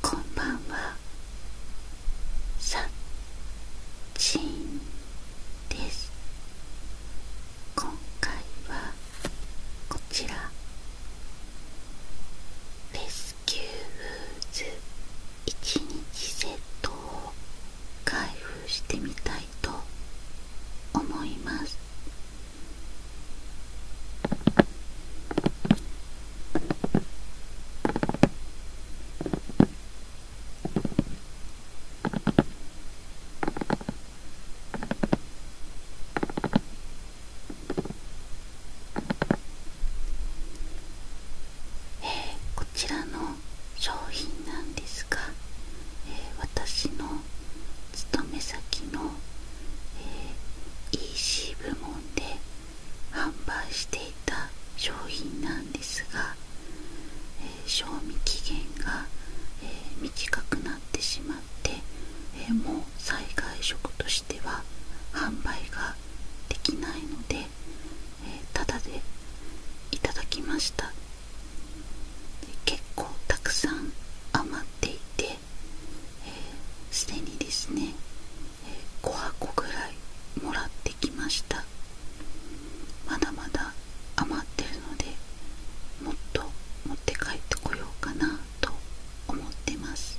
こんばんはさっちんです今回はこちらレスキューフーズ1日セット開封してみたいと思いますえこちらの商品なんですが、私の勤め先の、EC 部門で販売していた商品なんですが、賞味期限が、短くなってしまって、もう災害食としては販売ができないので、えー、タでいただきました結構たくさん余っていてすで、にですね、5箱ぐらいもらってきましたまだまだ余ってるのでもっと持って帰ってこようかなと思ってます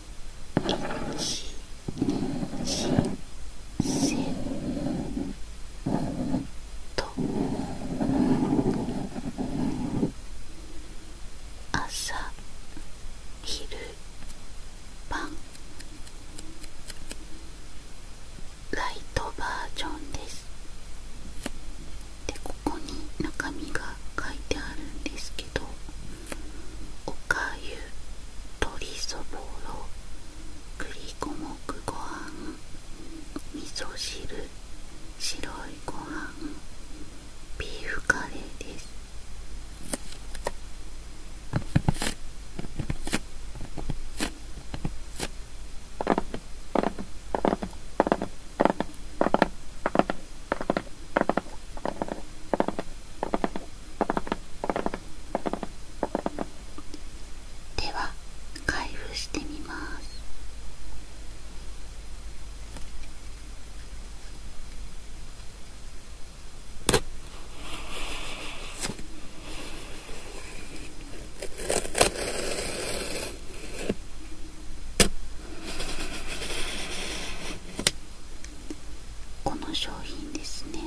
し、せ。と朝昼晩ライトバージョンです。でここに中身が書いてあるんですけどおかゆ鶏そぼろ栗五目ご飯味噌汁白いご飯ビーフカレーですでは開封してみますこの商品ですね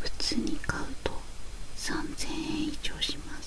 普通に買うと3000円以上します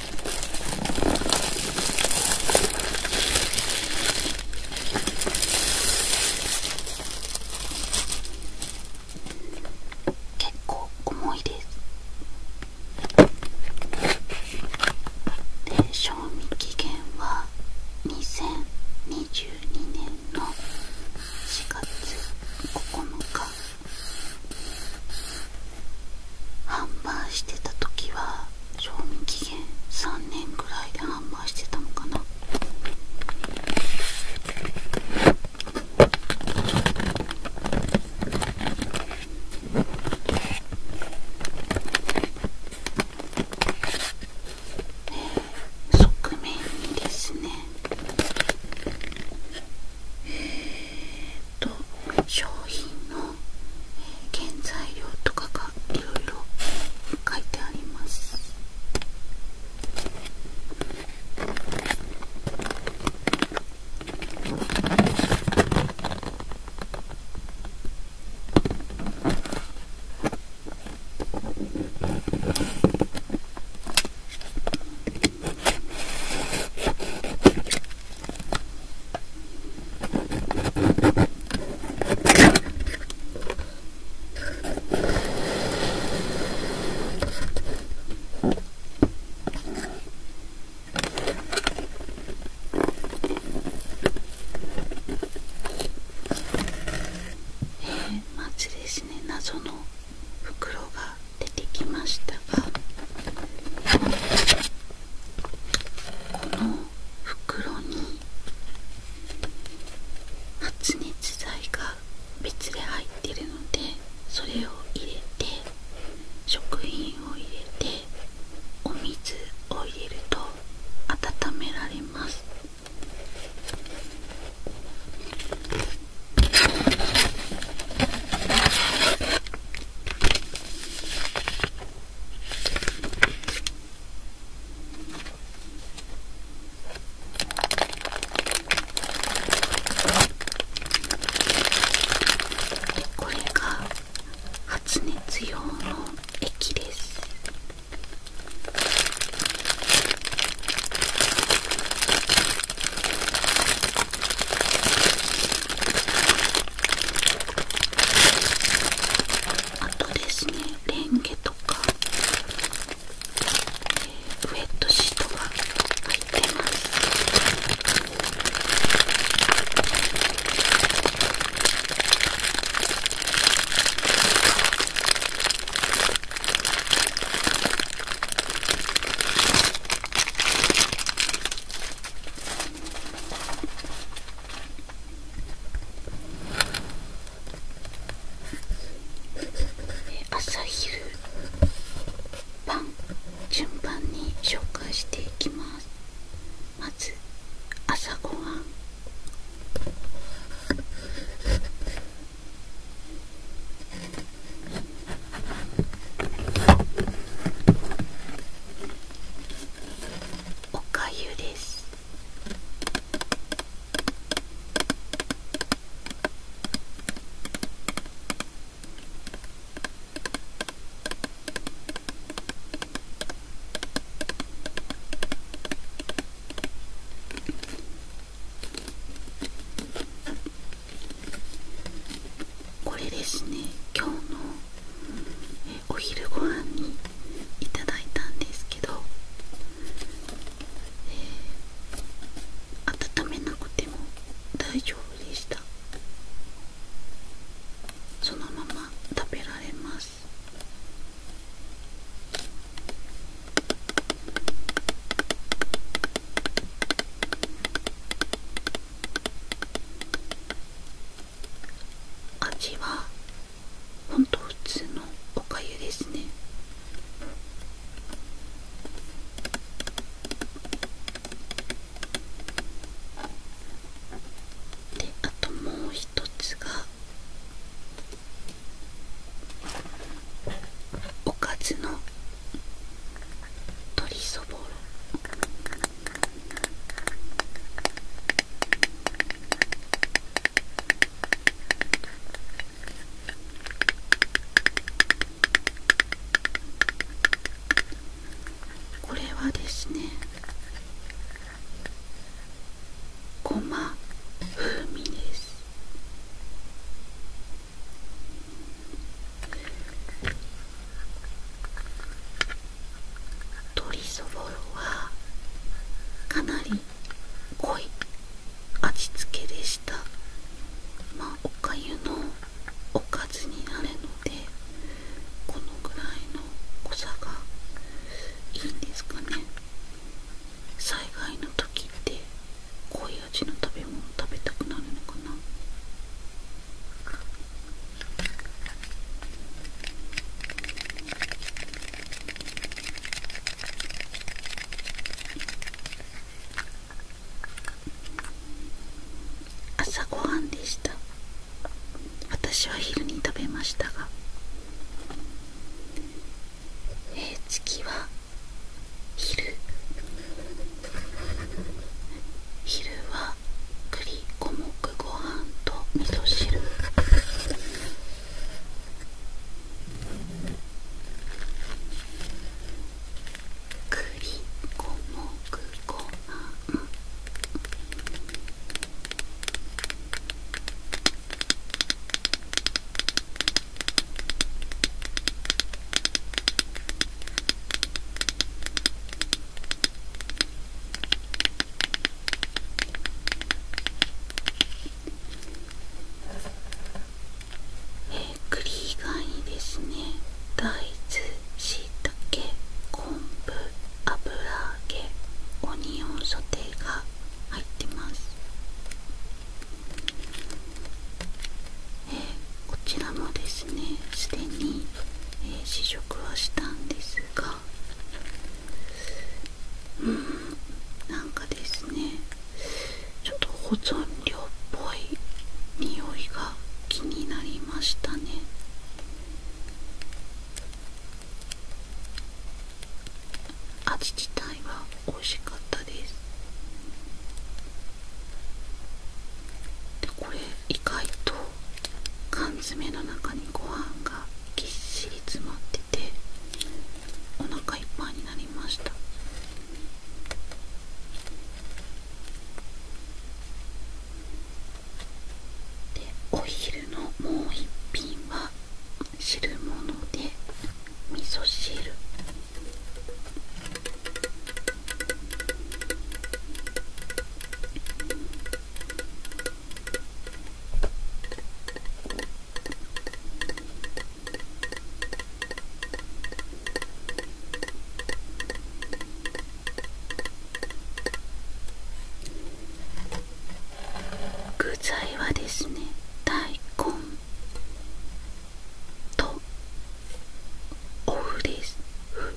結構重いですで賞味期限は2022年の4月9日販売してた時は賞味期限3年ぐらいで販売してたのかなえー、側面にですねえー、商品の原材料とかがいろいろ書いてありますえまちですね謎の袋が出てきましたが。この袋に発熱剤が別で入ってるのでそれを入れて食品を入れてお水を入れると温められますこれが発熱用の液ですあとですねレンゲとか、えー、ウェットシートが入ってます朝昼晩順番に紹介していきますまず朝ごはんおかゆですこれですね今日のお昼ご飯にいただいたんですけど、え温めなくても大丈夫でしたそのまま食べられます味はほんと普通のおかゆですねであともう一つがおかずの鶏そぼろこれはですねごま風味です鶏そぼろはかなり濃い味付けでしたまあおかゆのおかずになるのでこのぐらいの濃さがいいんですかね災害の時って濃い味の食べ物食べたくなるのかな朝ごはんでした私は昼に食べましたがええ、次は昼昼は栗五目ご飯と味噌汁栗五目ご飯えー、栗以外にですね大豆しいたけ昆布油揚げオニオンソテーが入ってますえこちらもですねすでに、え試食はしたんですがうんなんかですねちょっと保存料っぽい匂いが気になりましたね味自体は美味しかったですでこれ意外と缶詰の中にご飯がぎっしり詰まっててお腹いっぱいになりましたでお昼のもう1品は汁物で味噌汁具材はですね大根とおふですふ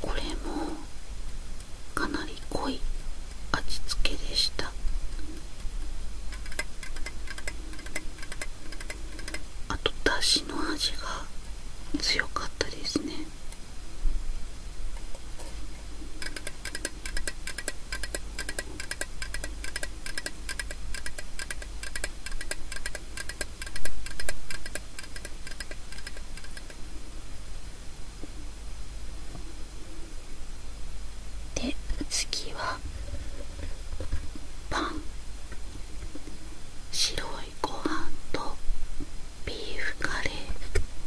これもかなり濃い味付けでしたあとだしの味が強かったですねで次はパン白いご飯とビーフカレー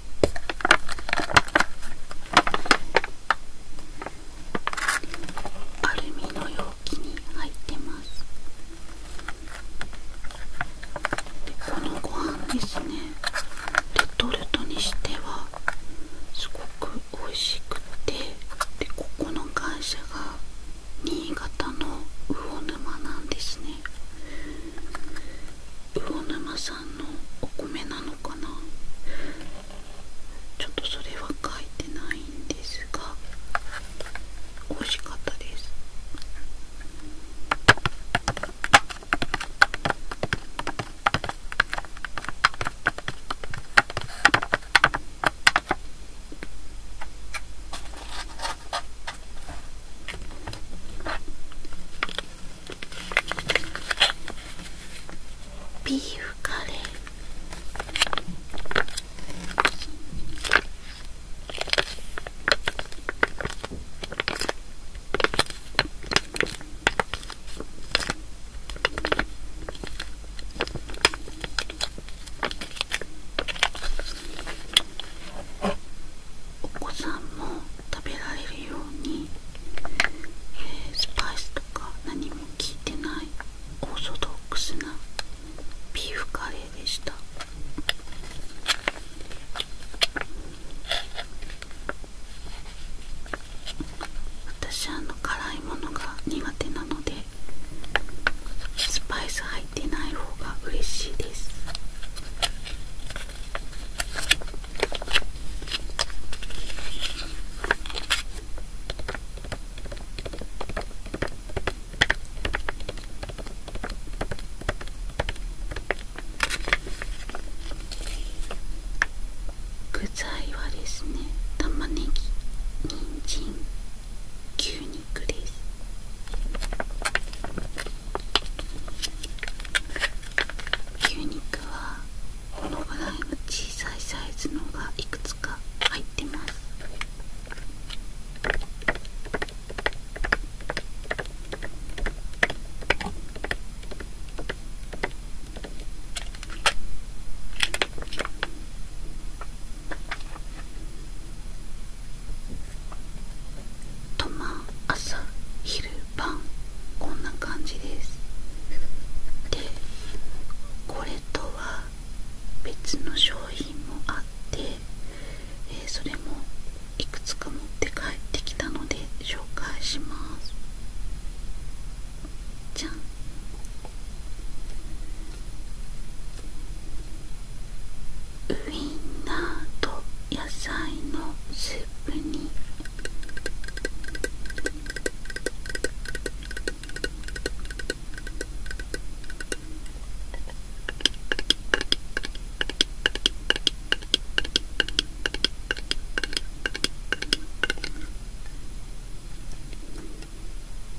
アルミの容器に入ってますでこのご飯ですねレトルトにしてはすごく美味しくてでここの会社が新潟の魚沼なんですね魚沼さんのお米なのかなちょっとそれは書いてないんですが美味しかったですビーフカレーお子さんも食べられるよえスパイスとか何も効いてないオーソドックスなビーフカレーでした。私あの辛いものが苦手なのでスパイス入ってない方が嬉しいです具材はですね玉ねぎ人参牛肉です牛肉はこのぐらいの小さいサイズのがいくつか入ってますとまあ朝昼晩こんな感じですでこれとは別の商品もあって、えー、それもいくつか持って帰ってきたので紹介しますじゃんウインナーと野菜のスープに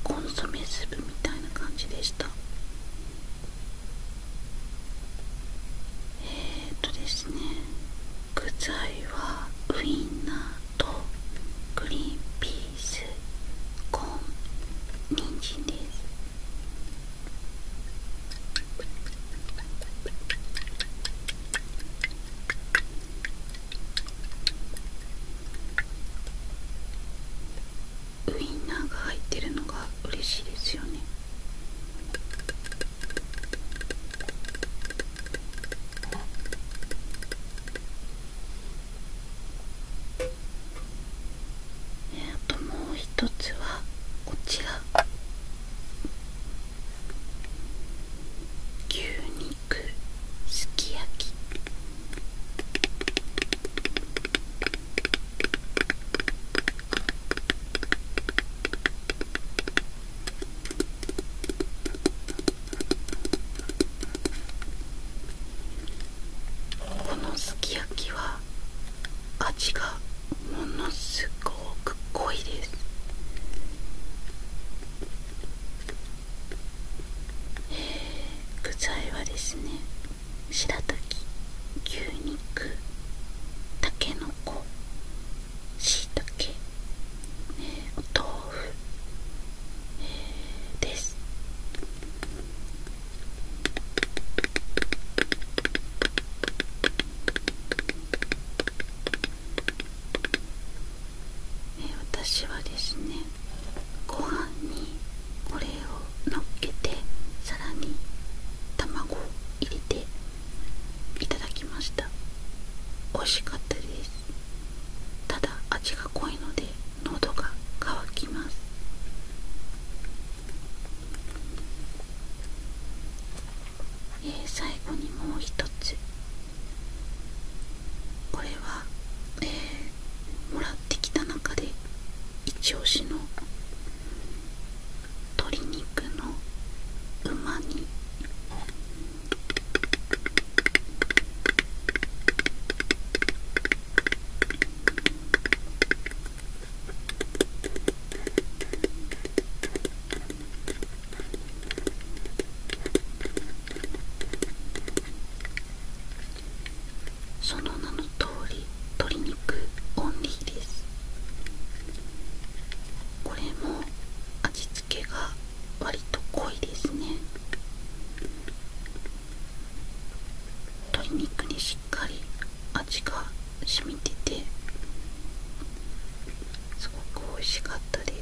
コンソメスープみたいな感じでしたえっ、とですね具材はウインナーとグリンピースコンニンジンですウインナーが入ってるのが嬉しいですよねえあともう一つはこちら牛肉すき焼きこのすき焼きは味がものすごく濃いですえ具材はですねしらたき牛肉たけのこしいたけ、えー、お豆腐、ええ、ですえー、私はですねご飯にこれをのっけてさらに卵を入れていただきました美味しかったですただ味が濃いので喉が乾きますえー、最後にもう一つこれは、えー、もらってきた中でイチオシの鶏肉のうま煮その名の通り鶏肉オンリーですこれも味付けが割と濃いですね鶏肉にしっかり味が染みててすごく美味しかったです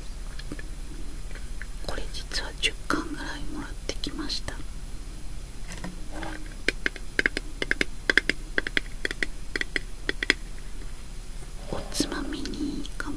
これ実は10巻ぐらいもらってきましたおつまみにいいかも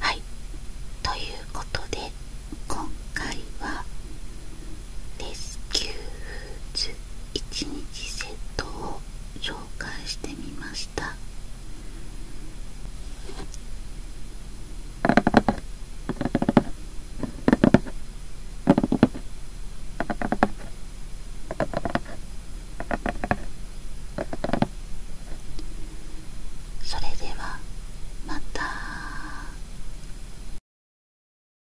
はいということで今回はレスキューズ1日セットを紹介してみましたそれではまた。